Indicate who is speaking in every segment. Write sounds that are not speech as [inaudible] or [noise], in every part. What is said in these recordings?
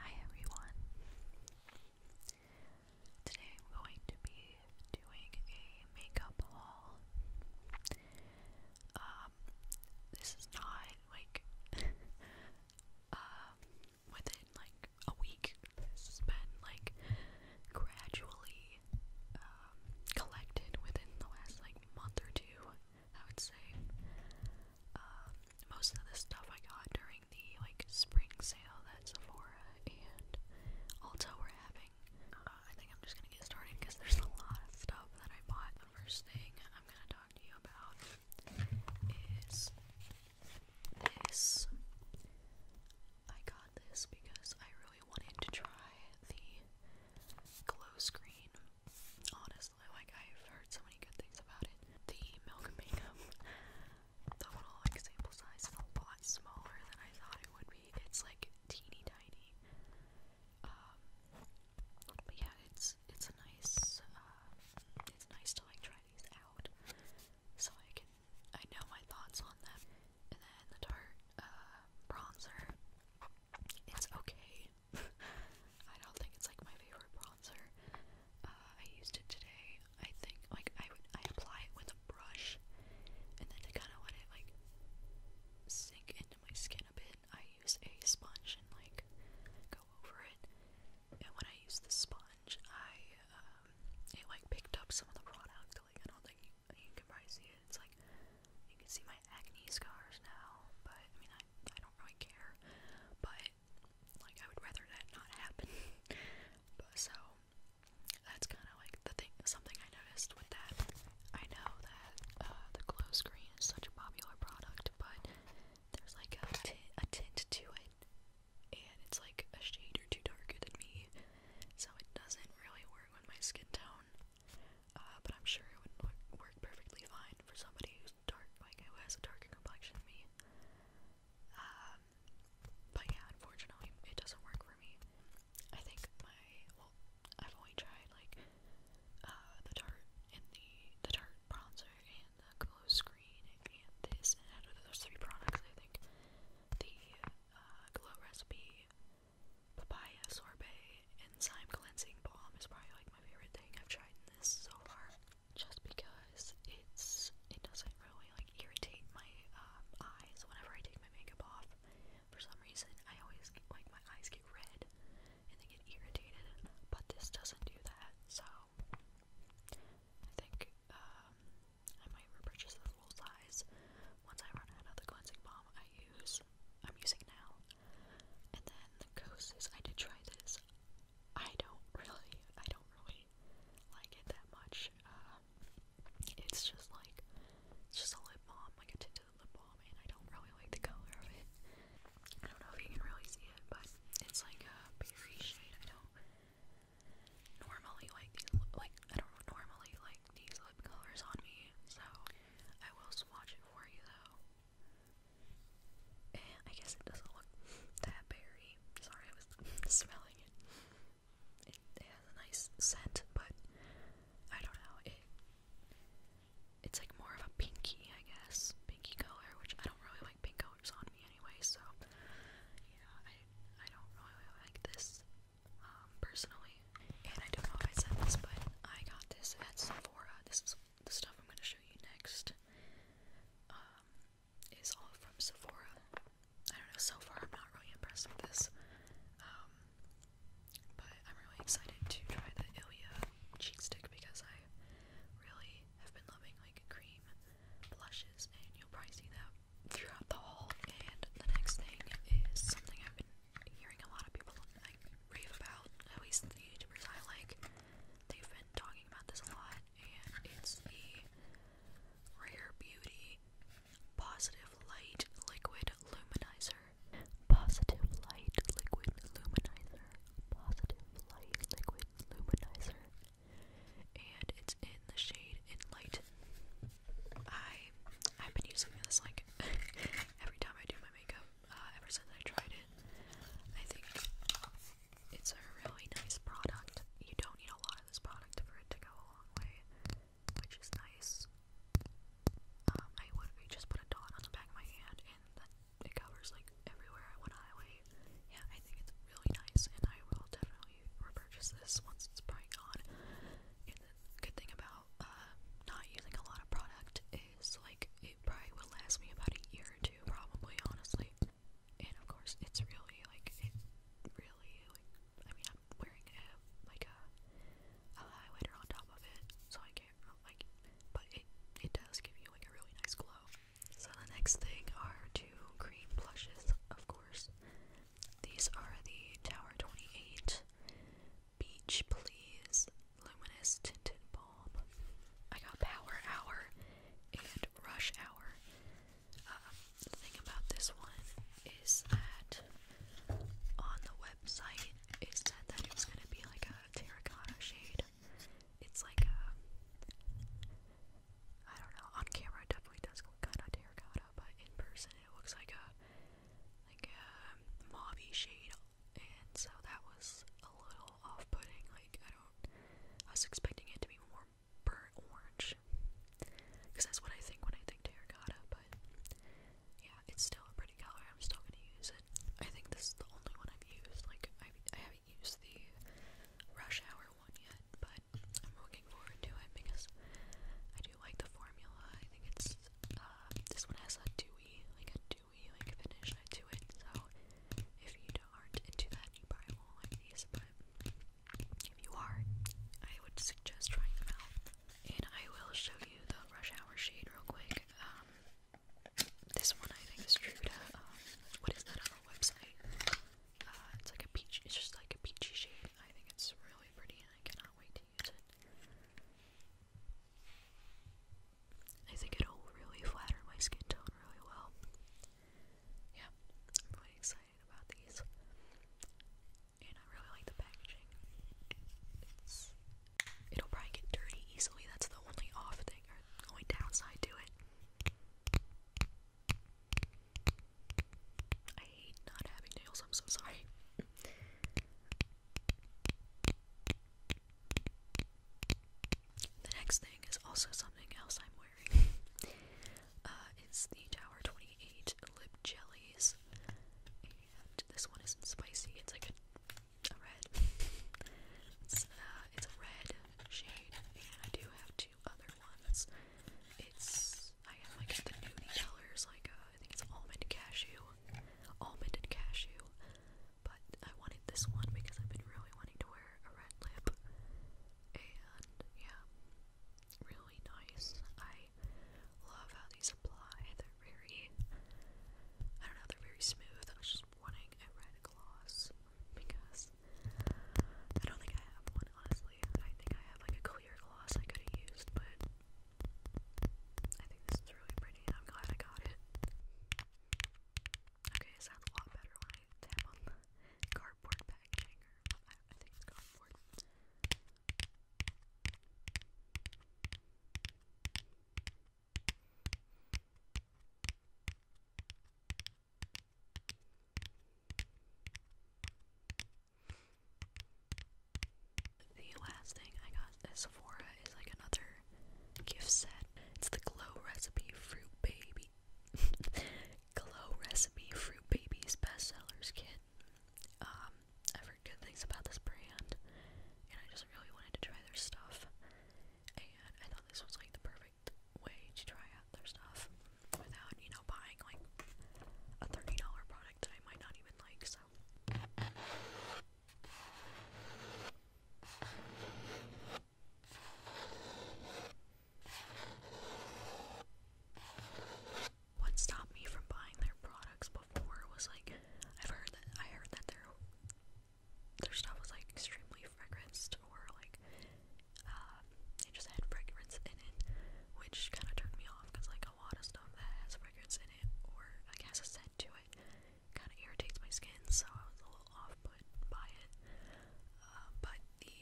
Speaker 1: Hi everyone. Today I'm going to be doing a makeup haul. Um, this is not like [laughs] um, within like a week. This has been like gradually um, collected within the last like month or two. I would say. Um, most of the stuff I got during the like spring sale that Sephora and Ulta were having. Uh, I think I'm just gonna get started because there's a lot of stuff that I bought. The first thing I'm gonna talk to you about is this. I got this because I really wanted to try the glow screen. Honestly, like I've heard so many good things about it. The Milk Makeup, the little like sample size is a lot smaller than I thought it would be. It's like teeny tiny. Um, but yeah, it's it's a nice. Uh, it's nice to like try these out, so I can I know my thoughts on them. And then the Tarte uh, bronzer. It's okay. [laughs] I don't think it's like my favorite bronzer. Uh, I used it today. I think like I would I apply it with a brush, and then to kind of let it like sink into my skin a bit, I use a sponge and like go over it. And when I use the sponge, I um, it like picked up some of the product. Like I don't think you, can probably see it. It's like you can see my acne scars now, but I mean I I don't really care. But like, I would rather that not happen. [laughs] but so, that's kind of like the thing, something I noticed with that. I know that uh, the glow screen is such a popular product, but there's like a, t a tint to it, and it's like a shade or two darker than me, so it doesn't really work with my skin tone. Uh, but I'm sure it would look, work perfectly fine for somebody dark, like who has a darker complexion than me. Um, but yeah, unfortunately, it doesn't work for me. I think my well, I've only tried like uh, the tart and the the tart bronzer and the glow screen and this and those three products, I think the uh, glow recipe, papaya sorbet, and cleansing balm is probably like my favorite thing I've tried this so far just because it's it doesn't really like irritate my um, eyes whenever I take my makeup off. For some reason, I always get, like my eyes get red and they get irritated, but this doesn't do that. So I think um, I might repurchase the full size once I run out of the cleansing balm I use. I'm using now, and then the Kosas. I did try this. I don't really, I don't really like it that much. Uh, it's just like, it's just a lip balm, like a tinted lip balm, and I don't really like the color of it. I don't know if you can really see it, but it's like a berry shade. I don't normally like these, like, I don't normally like these lip colors on me, so I will swatch it for you though. And I guess it doesn't look that berry. Sorry, I was [laughs] smelling it. it. has a nice scent, but I don't know. It it's like more of a pinky, I guess, pinky color, which I don't really like pink colors on me anyway. So yeah, I I don't really like this um, personally. And I don't know if I said this, but I got this at Sephora. This the stuff I'm going to show you next um, is all from Sephora. I don't know, so far I'm not really impressed with this, um, but I'm really excited to try the Ilia cheek stick because I really have been loving like cream blushes, and you'll probably see that throughout the haul. And the next thing is something I've been hearing a lot of people like rave about, at least the YouTubers I like, They've been talking about this a lot, and it's the Rare Beauty Positive Light Liquid Luminizer. Positive Light Liquid Luminizer. Positive Light Liquid Luminizer. And it's in the shade Enlighten. I I've been using this like [laughs] every time I do my makeup uh, ever since I tried it. I think it's a really nice product. You don't need a lot of this product for it to go a long way, which is nice. Um, I would just put a dot on the back of my hand, and that it covers like everywhere I want to highlight. Yeah, I think it's really nice, and I will definitely repurchase this once it's probably gone. And the good thing about uh, not using a lot of product is like, it probably will last me about a year or two, probably, honestly. And of course, it's really, like, it really, like, I mean, I'm wearing a, like, a, a highlighter on top of it, so I can't, like, but it, it does give you, like, a really nice glow. So the next thing are two cream blushes, of course. These are the Tower 28 Beach Please Luminous Tinted Balm. I got power hour and rush hour. Uh, the thing about this one is that on the website it said that it was going to be like a terracotta shade. It's like a. I don't know. On camera, it definitely does look kind of terracotta, but in person, it looks like a like a mauve shade, and so that was a little off-putting. Like I don't, I was expecting it to be more burnt orange, because that's what I think when I think terracotta. But yeah, it's still a pretty color. I'm still gonna use it. I think this is the only one I've used. Like I, haven't used the rush hour one yet, but I'm looking forward to it because I do like the formula. I think it's uh, this one has a dewy, like a do we like finish it to it. So if you aren't into that, you probably won't like these. if you are, I would suggest trying them out. And I will show you the Rush Hour shade real quick. Um, this one I think is true to um, what is that on other website? Uh, it's like a peach. It's just like a peachy shade. I think it's really pretty, and I cannot wait to use it. I think it'll really flatter my skin tone really well. Yeah, I'm really excited about these. And I really like the packaging. it'll probably get dirty easily, that's the only off thing or only downside to it. I hate not having nails, I'm so sorry. The next thing is also something else I'm wearing. Uh, it's the Tower 28 lip jellies. And this one isn't spicy, it's like a, red. Uh, it's, a red shade, and I do have two other ones. It's, I have like the nudie colors, like uh, I think it's almond cashew, almond and cashew, but I wanted this one because I've been really wanting to wear a red lip, and yeah, really nice. I love how these apply. They're very, I don't know, they're very smooth. I was just wanting a red gloss because I don't think I have one, honestly. I think I have like a clear gloss I could have used, but I think this is really pretty, and I'm glad I got it. Okay, it sounds a lot better on the cardboard packaging, I think it's cardboard. The last thing I got at Sephora is like another gift set. It's the Glow Recipe Fruit Baby. [laughs] Glow Recipe Fruit Babies Bestsellers Kit. Um, i heard good things about this brand, and I just really wanted to try their stuff. And I thought this was like the perfect way to try out their stuff without, you know, buying like a $30 product that I might not even like, so. What stopped me from buying their products before was like I've heard that I heard that their their stuff was like extremely fragranced or like um, it just had fragrance in it, which kind of turned me off because like a lot of stuff that has fragrance in it or like has scent to it kind of irritates my skin, so I was a little off put by it. Uh, but the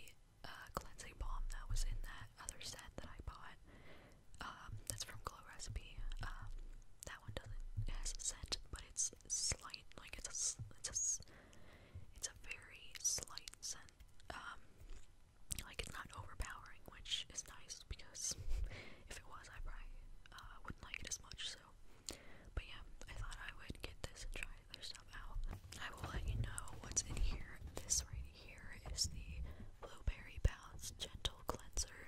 Speaker 1: uh, cleansing balm that was in that other set that I bought, um, that's from Glow Recipe. Um, that one doesn't has scent, but it's slight, like it's a it's a it's a very slight scent. Um, like it's not overpowering, which is nice because [laughs] if it was, I probably uh, wouldn't like it as much but yeah, I thought I would get this try other stuff out. I will let you know what's in here. This right here is the Blueberry Bounce Gentle Cleanser.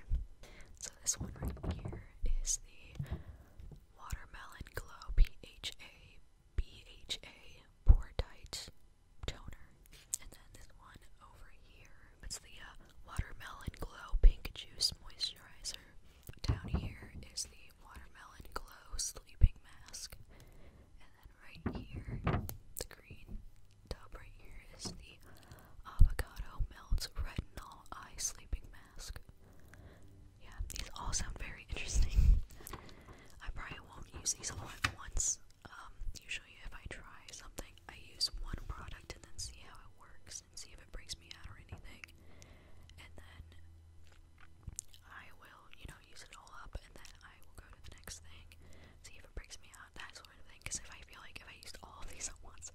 Speaker 1: So this one right here is the Watermelon Glow PHA BHA Portite Toner. And then this one over here, it's the uh, Watermelon Glow Pink Juice Moisturizer. Down here is the watermelon glow sleeping mask. And then right here, the green top right here is the avocado melts retinol eye sleeping mask. Yeah, these all sound very interesting. I probably won't use these all at once. Um, usually if I try something, I use one product and then see how it works and see if it brings me out or anything and then I will, you know, use it all up, and then I will go to the next thing, see if it breaks me out, that sort of thing, because if I feel like if I used all of these at once,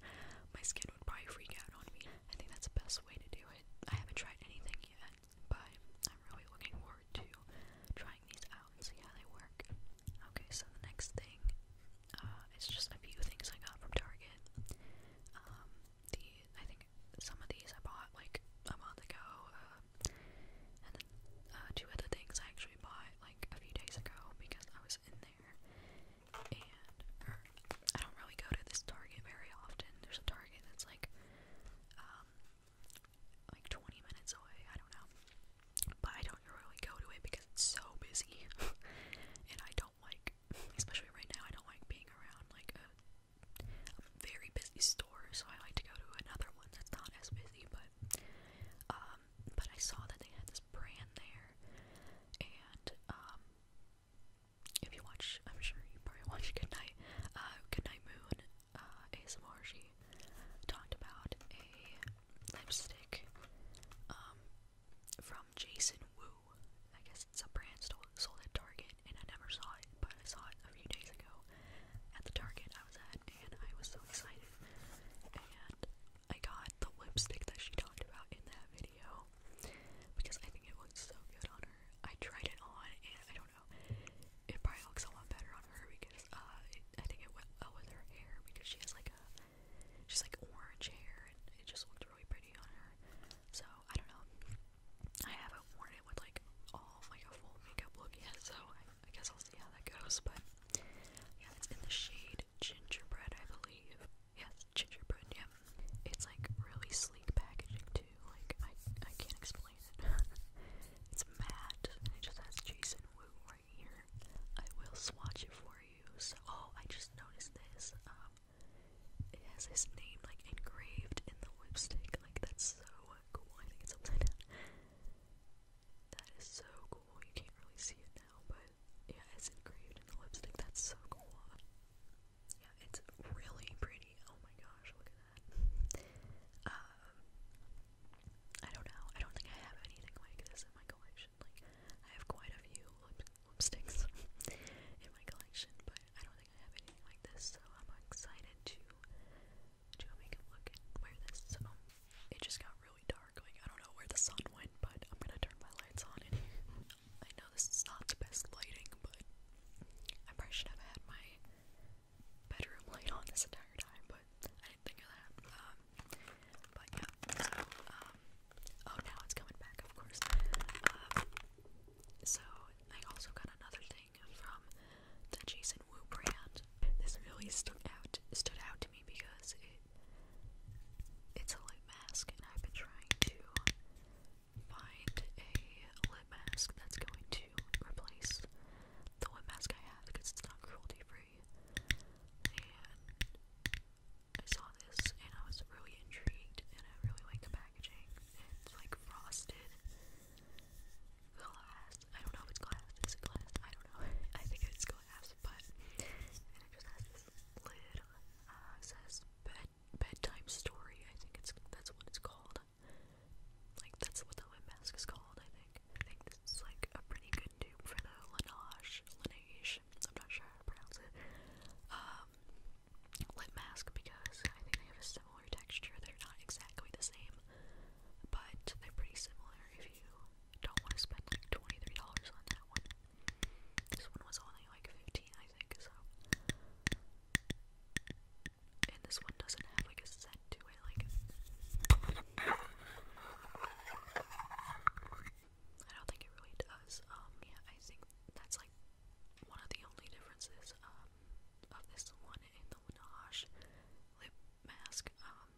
Speaker 1: my skin would probably freak out on me. I think that's the best way to do it. I haven't tried anything yet, but I'm really looking forward to trying these out and see how they work. Okay, so the next thing, uh, it's just a few things I got from Target. Um, the, I think like some of these I bought like a month ago, uh, and then uh, two other things I actually bought like a few days ago because I was in there. And or, er, I don't really go to this Target very often. There's a Target that's like um like 20 minutes away. I don't know, but I don't really go to it because it's so busy, [laughs] and I don't like, especially right now, I don't like being around like a, a very busy store, so I like to go to another one that's not as busy, but, um, but I saw that they had this brand there, and, um, if you watch, I'm sure you probably [laughs] watch Goodnight, uh, Goodnight Moon, uh, ASMR, she talked about a lipstick, um, from Jason Wu, I guess it's a brand sold at Target, and I never saw it, but I saw it a few days ago at the Target I was at, and I was so excited. And I got the lipstick that she talked about in that video because I think it looks so good on her. I tried it on, and I don't know, it probably looks a lot better on her because uh, I think it went well with her hair because she has like a she's like orange hair, and it just looked really pretty on her. So I don't know. I haven't worn it with like all like a full makeup look yet, so I, guess I'll see how that goes. But yeah, it's in the shade gingerbread, I believe. Yes, gingerbread. Yeah, it's like really sleek packaging too. Like I I can't explain it. [laughs] it's matte and it just has Jason Wu right here. I will swatch it for you. So oh, I just noticed this. Um, it has his name like engraved in the lipstick. Like that's so cool. I think it's upside That is so cool. You can't really see it now, but yeah, it's engraved in the lipstick. That's so cool. Yeah, it's really pretty. Oh my gosh, look at that. Um, I don't know. I don't think I have anything like this in my collection. Like, I have quite a few sticks [laughs] in my collection, but I don't think I have anything like this, so I'm excited to do a makeup look and wear this. So it just got really dark, like I don't know where the sun went, but I'm gonna turn my lights on in here. I know this is not the best lighting, but I probably should have had my bedroom light on this entire time, but I didn't think of that. Um, but yeah, um, oh, now it's coming back, of course. Um, so I also got another thing from the Jason Wu brand. This really stuck out stood out to me because it it's a lip mask and I've been trying to find a lip mask that's going to replace the lip mask I have because it's not cruelty free. And I saw this and I was really intrigued and I really like the it's like frosted glass. I don't know if it's glass. Is it glass? I don't know. [laughs] I think it's glass, but and it just has this lid. Uh, it says bed bedtime story. I think it's that's what it's called. Like that's what the mask is called. I think. I think this like a pretty good dupe for the Laneige. Laneige. I'm not sure how to pronounce it. Um, lip mask because I think they have a similar texture. They're not exactly the same, but they're pretty similar if you don't want to spend like $23 on that one. This one was only like 15 I think, so. And this one doesn't have like a scent to it, like. I don't think it really does. Um, yeah, I think that's like one of the only differences um, of this one and the Winage lip mask um,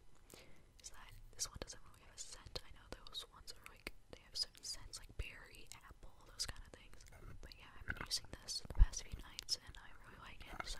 Speaker 1: is that this one doesn't really have a scent. I know those ones are like, they have certain scents like berry, apple, those kind of things. But yeah, I've been using this the past few nights and I really like it, so.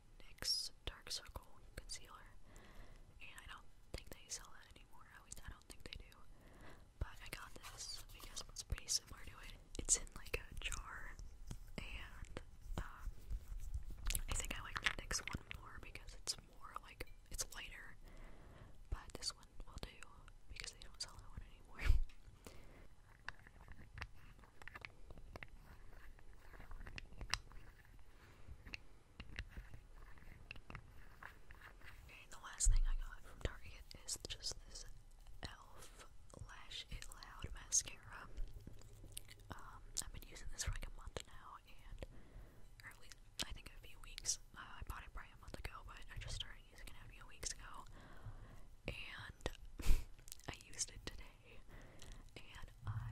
Speaker 1: NYX Dark Circle Concealer, and I don't think they sell that anymore, I least I don't think they do, but I got this because it's pretty similar to it. It's in like a jar, and um, I think I like the NYX one more because it's more like, it's lighter, but this one will do because they don't sell that one anymore. [laughs] Okay, the last thing I got from Target is just this e.l.f. Lash It Loud mascara. Um, I've been using this for like a month now, and or at least I think a few weeks. Uh, I bought it probably a month ago, but I just started using it a few weeks ago, and [laughs] I used it today. And I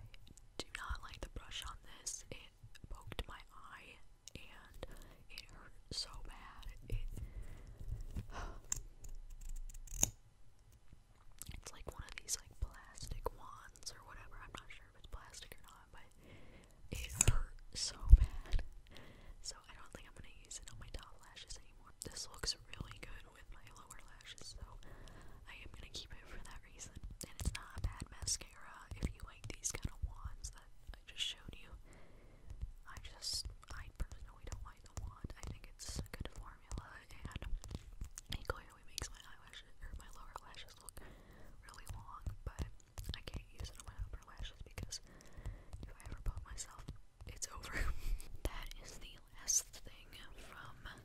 Speaker 1: do not like the brush on this. It poked my eye and it hurt so bad. It's like one of these like plastic wands or whatever. I'm not sure if it's plastic or not, but it hurt so bad. So I don't think I'm gonna use it on my top lashes anymore. This looks really good with my lower lashes, so I am gonna keep it for that reason. And it's not a bad mascara if you like these kind of wands that I just showed you. I just, I personally don't like the wand. I think it's a good formula and it clearly makes my eyelashes, or my lower lashes look really long, but I can't use it on my upper lashes because if I ever put myself, it's over. [laughs] that is the last thing from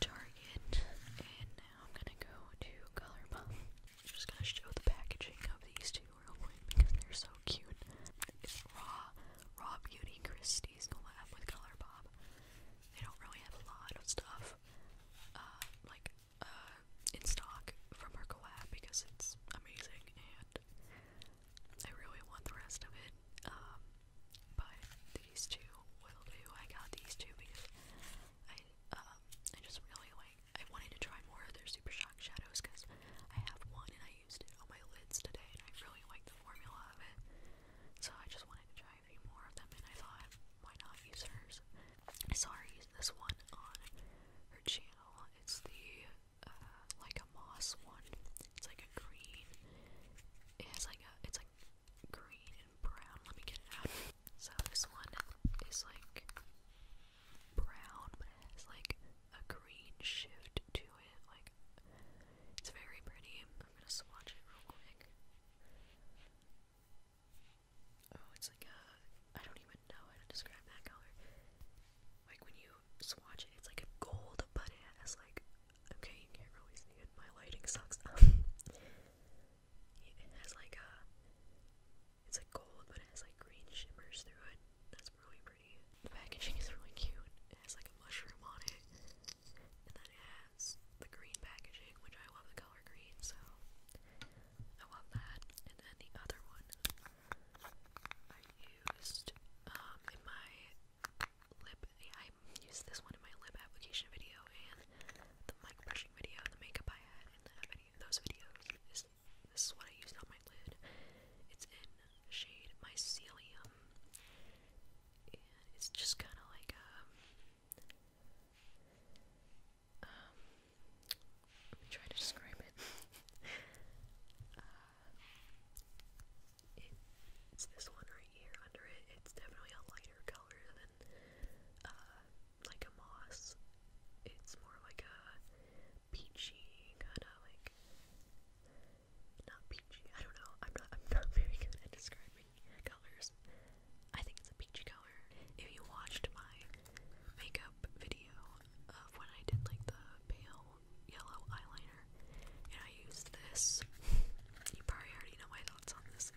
Speaker 1: Target, and I'm gonna go to Colourpop. just gonna show the packaging of these two real quick because they're so cute. It's raw, raw beauty Christie's collab with Colourpop. They don't really have a lot of stuff, uh, like, uh, in stock from her collab because it's amazing and I really want the rest of it. Um, but these two will do. I got these two because I um I just really like I wanted to try more of their Super Shock shadows because I have one and I used it on my lids today and I really like the formula of it. So I just wanted to try a few more of them and I thought why not use hers? I saw her use this one on her channel. It's the uh, like a moss one. It's like a green. It has like a it's like green and brown. Let me get it out. So this one is like brown, but it like a green shift to it. Like it's very pretty. I'm gonna swatch it real quick. Oh, it's like a I don't even know how to describe that color. Like when you swatch it, it's like a gold, but it has like okay, you can't really see it. My lighting sucks. [laughs] It has like a, it's like gold, but it has like green shimmers through it. That's really pretty. The packaging is really cute. It has like a mushroom on it, and then it has the green packaging, which I love the color green, so I love that. And then the other one I used um, in my lip I used this one in my lip application video and the mic brushing video and the makeup I had in those videos. This, this is what I used on my lid. It's in shade Mycelium. And it's just kind of like a... Um, um, let to describe [laughs] uh, it it's this one right here under it. It's definitely a lighter color than uh, like a moss. It's more like a peachy kind of like not peachy. I don't know. I'm not. I'm not [laughs] very good at describing colors. I think it's a peachy color. If you watched my makeup video of when I did like the pale yellow eyeliner, and I used this, you probably already know my thoughts on this.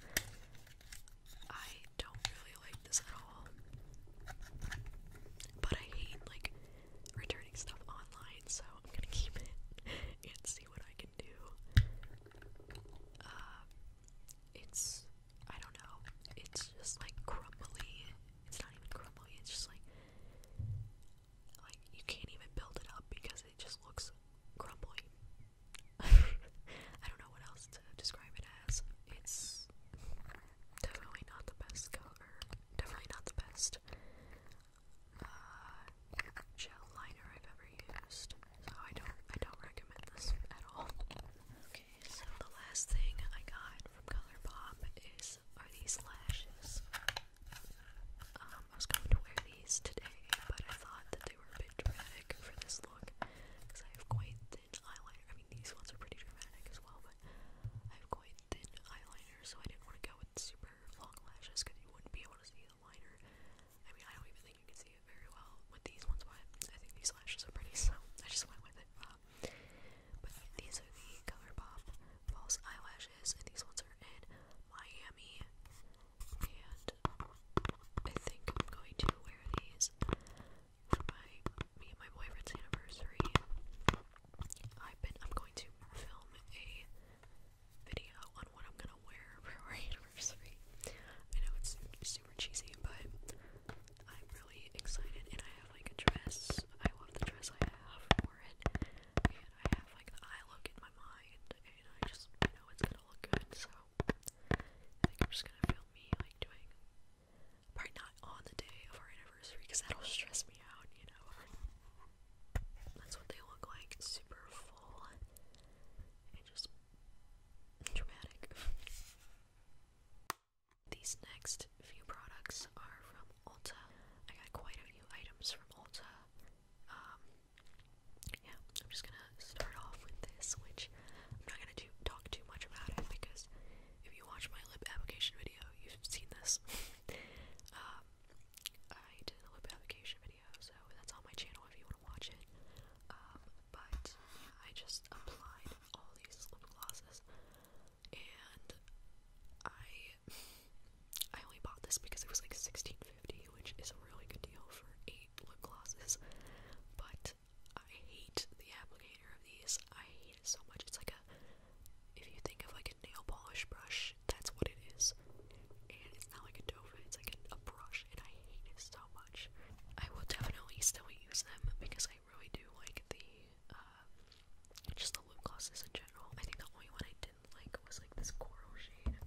Speaker 1: I don't really like this at all. But I hate like returning stuff online, so I'm gonna keep it [laughs] and see what I can do. Uh, it's I don't know. It's just like crumbly. It's not even crumbly. It's just like like you can't even build it up because it just looks crumbly. I don't know what else to describe it as. It's definitely not the best color. definitely not the best uh, gel liner I've ever used. So I don't, I don't recommend this at all. Okay, so the last thing I got from Color is are these lashes. Um, I was going to wear these today, but I thought that they were a bit dramatic for this look because I have quite thin eyeliner. I mean, these ones are pretty dramatic as well, but I have quite thin eyeliner, so I didn't want to go with super long lashes because you wouldn't be able to see the liner. I mean, I don't even think you can see it very well with these ones, but I think these lashes are pretty, [laughs] so I just went with it. Uh, but these are the ColourPop false eyelashes, and these ones are in Miami and I think I'm going to wear these for me and my boyfriend's anniversary. I've been I'm going to film a video on what I'm gonna wear [laughs] for our anniversary. I know it's super cheesy, but I'm really excited and I have like a dress. I love the dress I have for it. And I have like the eye look in my mind and I just I know it's gonna look good, so I am just gonna film me like doing probably not on the day of our anniversary because that'll stress me out, you know. That's what they look like, super full and just dramatic. These next few products are from Ulta. I got quite a few items from Ulta. Um, yeah, I'm just gonna start off with this, which I'm not gonna do, talk too much about it because if you watch my lip application video, you've seen this. um, [laughs] I did a lip application video, so that's on my channel if you wanna watch it. Um, but yeah, I just applied all these lip glosses, and I I only bought this because it was like $16 which is a really good deal for eight lip glosses. But I hate the applicator of these. I hate it so much. It's like a, if you think of like a nail polish brush, that's what it is. And it's not like a Dova, it's like a, brush, and I hate it so much. I will definitely still use them because I really do like the, uh, just the lip glosses in general. I think the only one I didn't like was like this coral shade.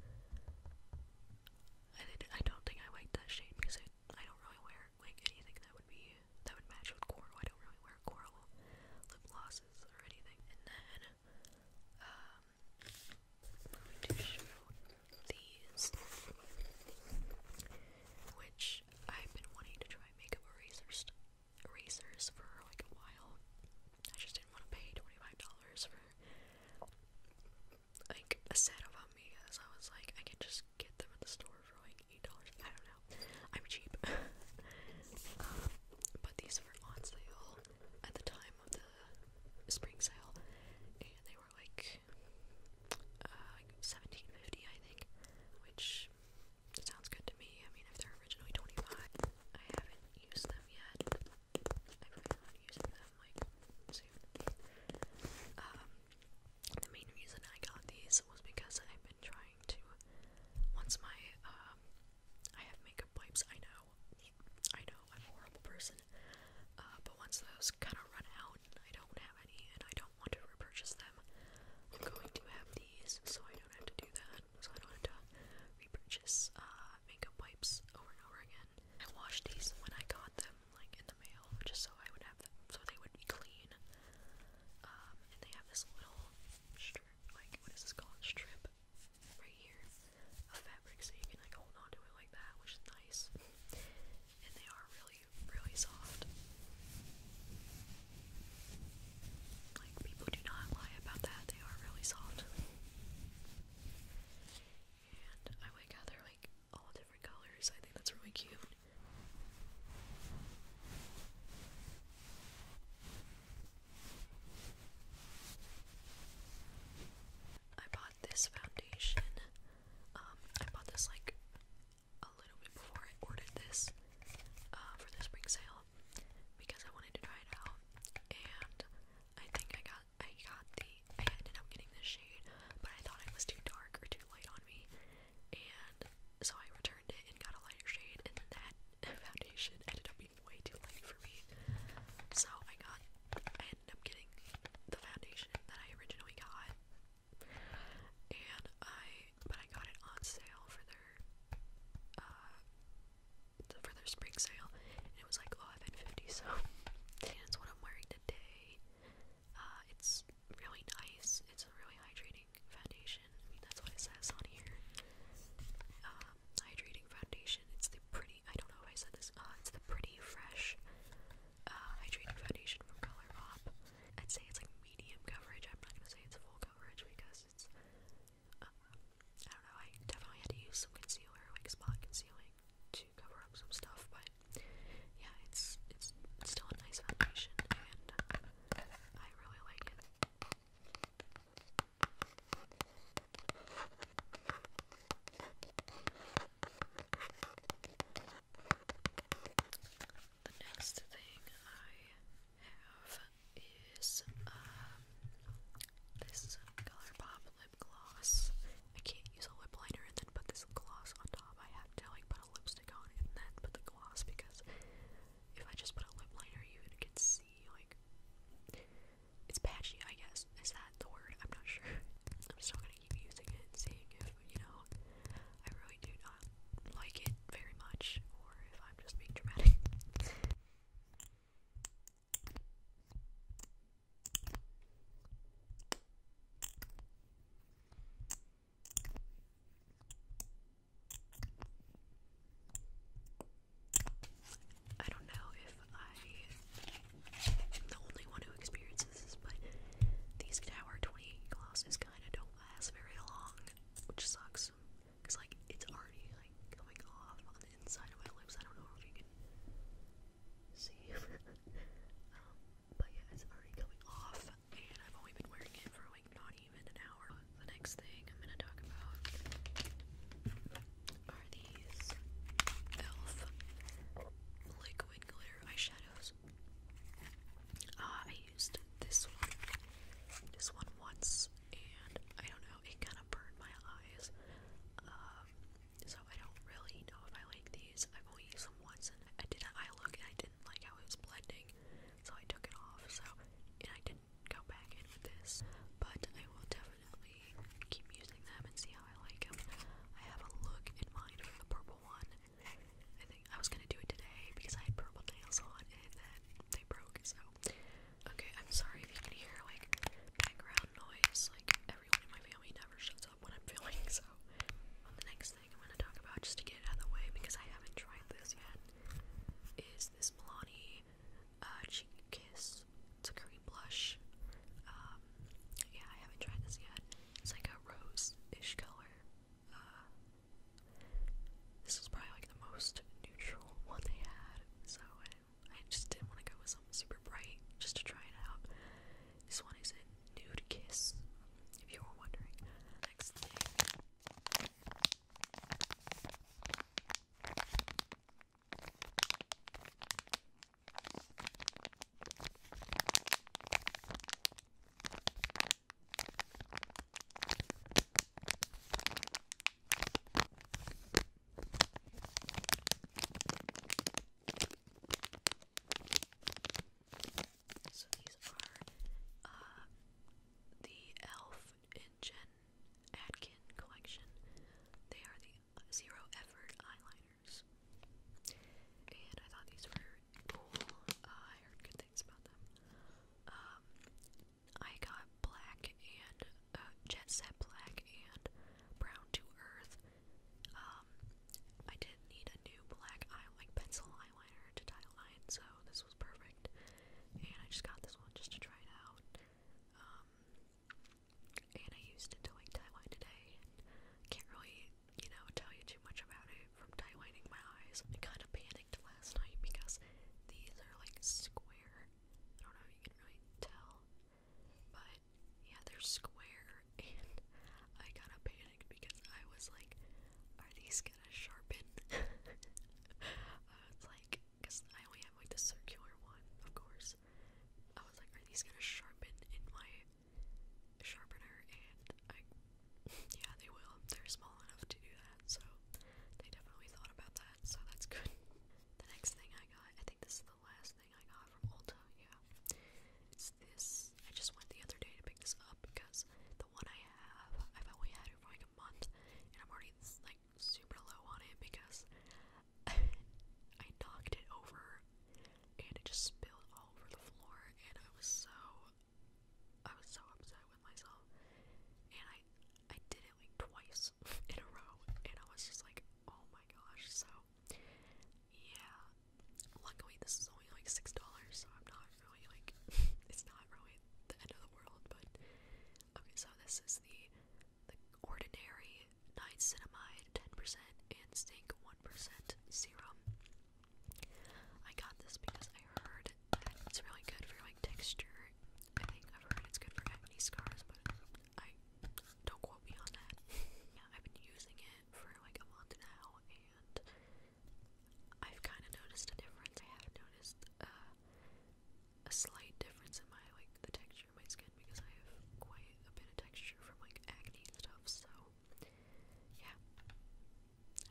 Speaker 1: I don't think I like that shade because I, don't really wear like anything that would be that would match with coral. I don't really wear coral lip glosses or anything. And then um I'm show these which I've been wanting to try makeup erasers erasers for like a while. I just didn't want to pay $25 for like said about me is I was like I can just get them at the store for like eight dollars. I don't know. I'm cheap. [laughs] um, but these were on sale at the time of the spring sale and they were like uh seventeen fifty I think, which sounds good to me. I mean if they're originally twenty five I haven't used them yet. I really not used them them like soon. Um, the main reason I got these was because I've been trying to. Once my um, I have makeup wipes. I know, I know, I'm a horrible person. Uh, but once those kind of run out, and I don't have any, and I don't want to repurchase them. I'm going to have these, so I don't have to do that. So I don't have to repurchase uh, makeup wipes over and over again. I washed these when I got them, like in the mail, just so I would have them, so they would be clean. Um, and they have this little strip, like what is this called? Strip right here of fabric, so you can like hold on to it like that, which is nice. and they are really, really soft. Like people do not lie about that; they are really soft. And I like how they're like all different colors. I think that's really cute. I bought this foundation. Um, I bought this like a little bit before I ordered this uh, for the spring sale because I wanted to try it out, and I think I got I got the I ended up getting this shade, but I thought it was too dark or too light on me, and so I returned it and got a lighter shade, and that [laughs] foundation ended up being way too light for me. So I got I ended up getting the foundation that I originally got, and I but I got it on sale for their uh for their spring sale, it was like $11.50, so and it's what I'm wearing today. Uh, it's really nice. It's a really hydrating foundation. I mean, that's what it says on here. Um, hydrating foundation. It's the pretty, I don't know if I said this, uh, it's the pretty fresh uh, hydrating foundation from Color Pop. I'd say it's like medium coverage. I'm not gonna say it's full coverage because it's, I don't know, I definitely had to use some concealer, like spot concealing, cover up some stuff, but yeah, it's it's still a nice foundation, and I really like it. The next thing I have is um, this ColourPop gloss. I can't use a lip liner and then put this gloss on top. I have to like put a lipstick on and then put the gloss because if I just put a lip liner, you can see like it's patchy. I guess is that the word? I'm not sure. [laughs] I'm still gonna keep using it, and seeing if you know I really do not like it very much, or if I'm just being dramatic. [laughs] I don't know if I am the only one who experiences this, but these Tower 20 glosses kind of don't last very long, which sucks. Because, like, it's already, like, coming off on the inside of my lips. I don't know if you can save. [laughs] um, but yeah, it's already coming off, and I've only been wearing it for like not even an hour. The next thing I'm gonna talk about are these e.l.f. liquid glitter eyeshadows. Uh, I used this one, this one once, and I don't know, it kind of burned my eyes. Um, so I don't really know if I like these. I've only used them once, and I did an look, and I didn't like how it was blending, so I took it off. So, and I didn't go back in with this, but I will definitely keep using them and see how I like them. I have a look in mind for the purple one. I think I was gonna do it today because I had purple nails on, and then they broke. So, okay, I'm sorry if you can hear like background loud noise. Like everyone in my family never shuts up when I'm filming, so the next thing I'm gonna talk about just to get out of the way because I haven't tried this yet is this Milani uh, cheek kiss. It's a cream blush. Um, yeah, I haven't tried this yet. It's like a rose-ish color. Uh, this is probably like the most neutral one they had, so I I just didn't want to go with something super bright just to try it out. This one is a nude kiss, if you were wondering. So these are uh, the Elf and Jen Atkin collection. They are the Zero Effort eyeliners. And I thought these were cool. Uh, I heard good things about them. Um, I got black and uh, jet set black and brown to earth. Um, I did need a new black eye like pencil eyeliner to dye line, so this was perfect. And I just got this one just to try it out. Um, and I used it to like dye line today. can't really, you know, tell you too much about it from dye lining my eyes. I kind of panicked last night because these are like square. I don't know you can really tell. But yeah, they're square, [laughs] and I kind of panicked because I was like, are these gonna sharpen? [laughs] I was like, because I only have like the circular one, of course. I was like, are these gonna sharpen in my sharpener? And I, [laughs] yeah, they will. They're small enough to do that, so they definitely thought about that, so that's good. The next thing I got, I think this the last thing I got from Ulta, yeah. It's this. I just went the other day to pick this up because the one I have, I've only had it for like a month, and I'm already like super low on it because [laughs] I knocked it over and it just spilled all over the floor, and I was so I was so upset with myself, and I I did it like twice [laughs] in a row, and I was just like, oh my gosh. So yeah. Luckily, this is only like six dollars, so I'm not really like [laughs] it's not really the end of the world. But okay, so this is the the ordinary niacinamide ten percent and zinc one percent serum. I got this because I heard it's really good for like texture. I think I've heard it's good for acne scars, but I don't quote me on that. [laughs] yeah, I've been using it for like a month now, and I've kind of noticed a difference. I have noticed uh, a slight difference in my like the texture of my skin because I have quite a bit of texture from like acne and stuff. So yeah,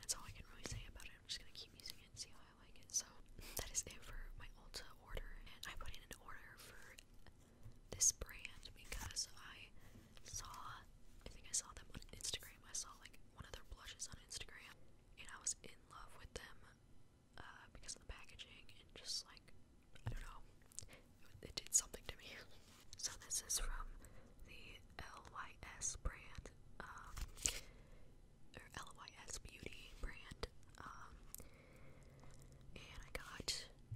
Speaker 1: that's all I can really say about it. I'm just gonna keep using it and see how I like it. So that is it for my Ulta order, and I put in an order for this brand because I saw, I think I saw them on Instagram. I saw like one of their blushes on Instagram and I was in love with them uh, because of the packaging and just like, I don't know, it, did something to me. [laughs] so this is from the LYS brand, um, or LYS Beauty brand. Um, and I got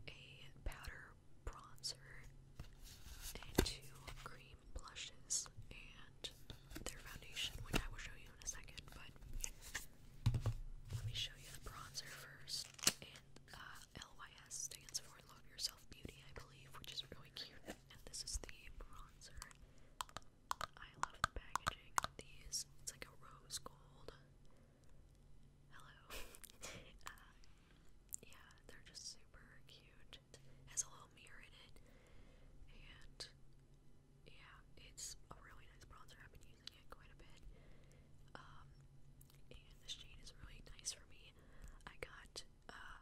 Speaker 1: a powder bronzer and two cream blushes and their foundation, which I will show you in a second, but let me show you the bronzer first. And uh, LYS stands for Love Yourself Beauty, I believe, which is really cute. And this is the bronzer. I love the packaging these. It's like a rose gold hello. [laughs] Uh, yeah, they're just super cute. has a little mirror in it, and yeah, it's a really nice bronzer. I've been using it quite a bit. Um, and the shade is really nice for me. I got uh,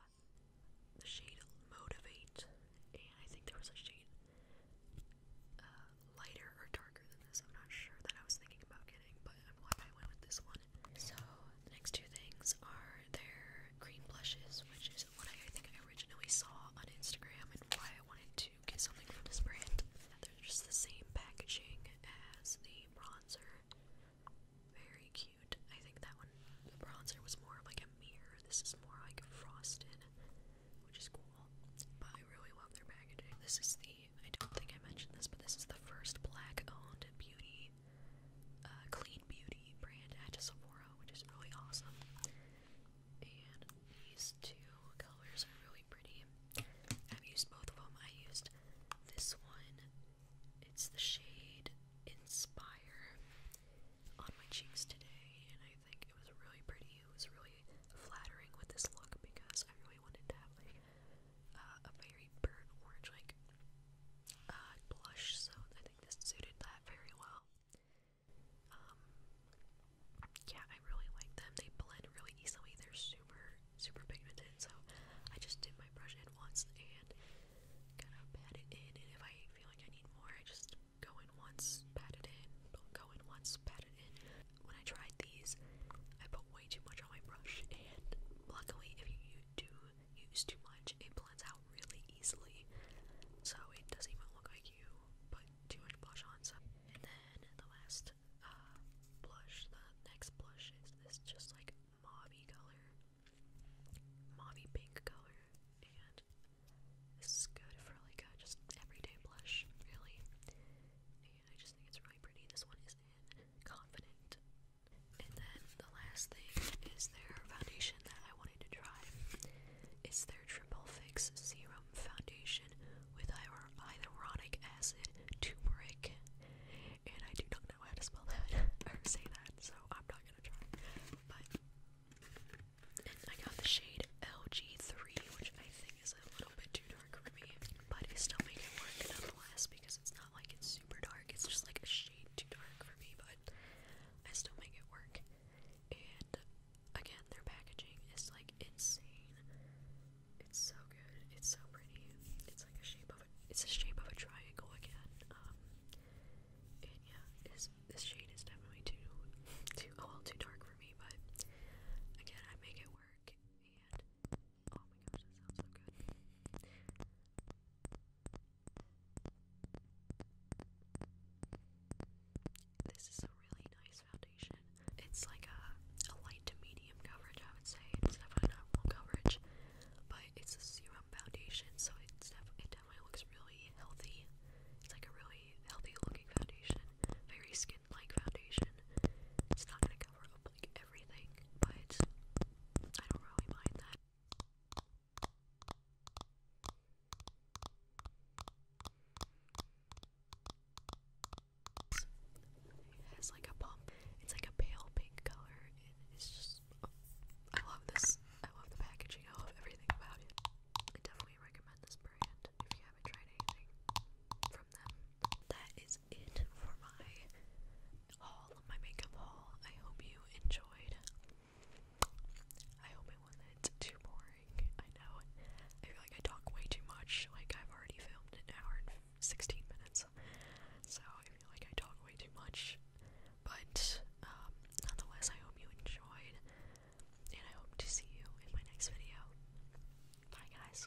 Speaker 1: the shade Motivate, and I think there was a shade uh, lighter or darker than this. I'm not sure that I was thinking about getting, but I'm glad I went with this one. So the next two things are their green blushes, which is what I think I originally saw on Instagram and why I wanted to get something from this brand. They're just the same packaging as the bronzer. Very cute. I think that one, the bronzer was more of like a mirror. This is more like frosted, which is cool. But I really love their packaging. This is the I don't think I mentioned this, but this is the first black-owned beauty, uh, clean beauty brand at Sephora, which is really awesome. And these two colors are really pretty. I've used both of them. I used this one. It's the shade Inspire on my cheeks today, and I think it was really pretty. It was really flattering with this look because I really wanted to have like uh, a very burnt orange like uh, blush, so I think this suited that very well. Um, yeah, I really like them. They blend really easily. They're super, super pigmented. So I just dip my brush in once and kind of pat it in. And if I feel like I need more, I just go in once, pat it in, go in once, pat it in. When I tried these, I put way too much on my brush, and luckily, if you do use too much, it blends out really easily, so it doesn't even look like you put too much blush on. So. And then the last uh, blush, the next blush is this just like mauvey color, mauvey pink color, and this is good for like a just everyday blush, really. And I just think it's really pretty. This one is in confident. And then the last thing is their foundation that I wanted to try. It's their Triple Fix Serum Foundation with hyaluronic acid, turmeric, and I do not know how to spell that [laughs] or say that, so I'm not gonna try. But I got the shade LG3, which I think is a little bit too dark for me, but I still make it work nonetheless because it's not like it's super dark, it's just like a shade too dark for me, but I still make it work. And again, their packaging is like insane. It's so good, it's so pretty. It's like a shape of a, it's a shape of a triangle again. Um and yeah, this this shade is definitely too too oh well too dark for me, but again I make it work and Oh my gosh, that sounds so good. This is a really nice foundation. It's like a, a light to medium coverage, I would say. It's definitely not full coverage, but it's a serum foundation, so it definitely looks really healthy. It's like a really healthy looking foundation, very skin like foundation. It's not cover like everything, but I don't really mind that. It has like a pump. It's like a pale pink color, and it's just. Oh, I love this. I love the packaging. I love everything about it. I definitely recommend this brand if you haven't tried anything that is it for my haul, my makeup haul. I hope you enjoyed. I hope it wasn't too boring. I know. I feel like I talk way too much. Like I've already filmed an hour and 16 minutes. So I feel like I talk way too much. But um, nonetheless, I hope you enjoyed. And I hope to see you in my next video. Bye guys.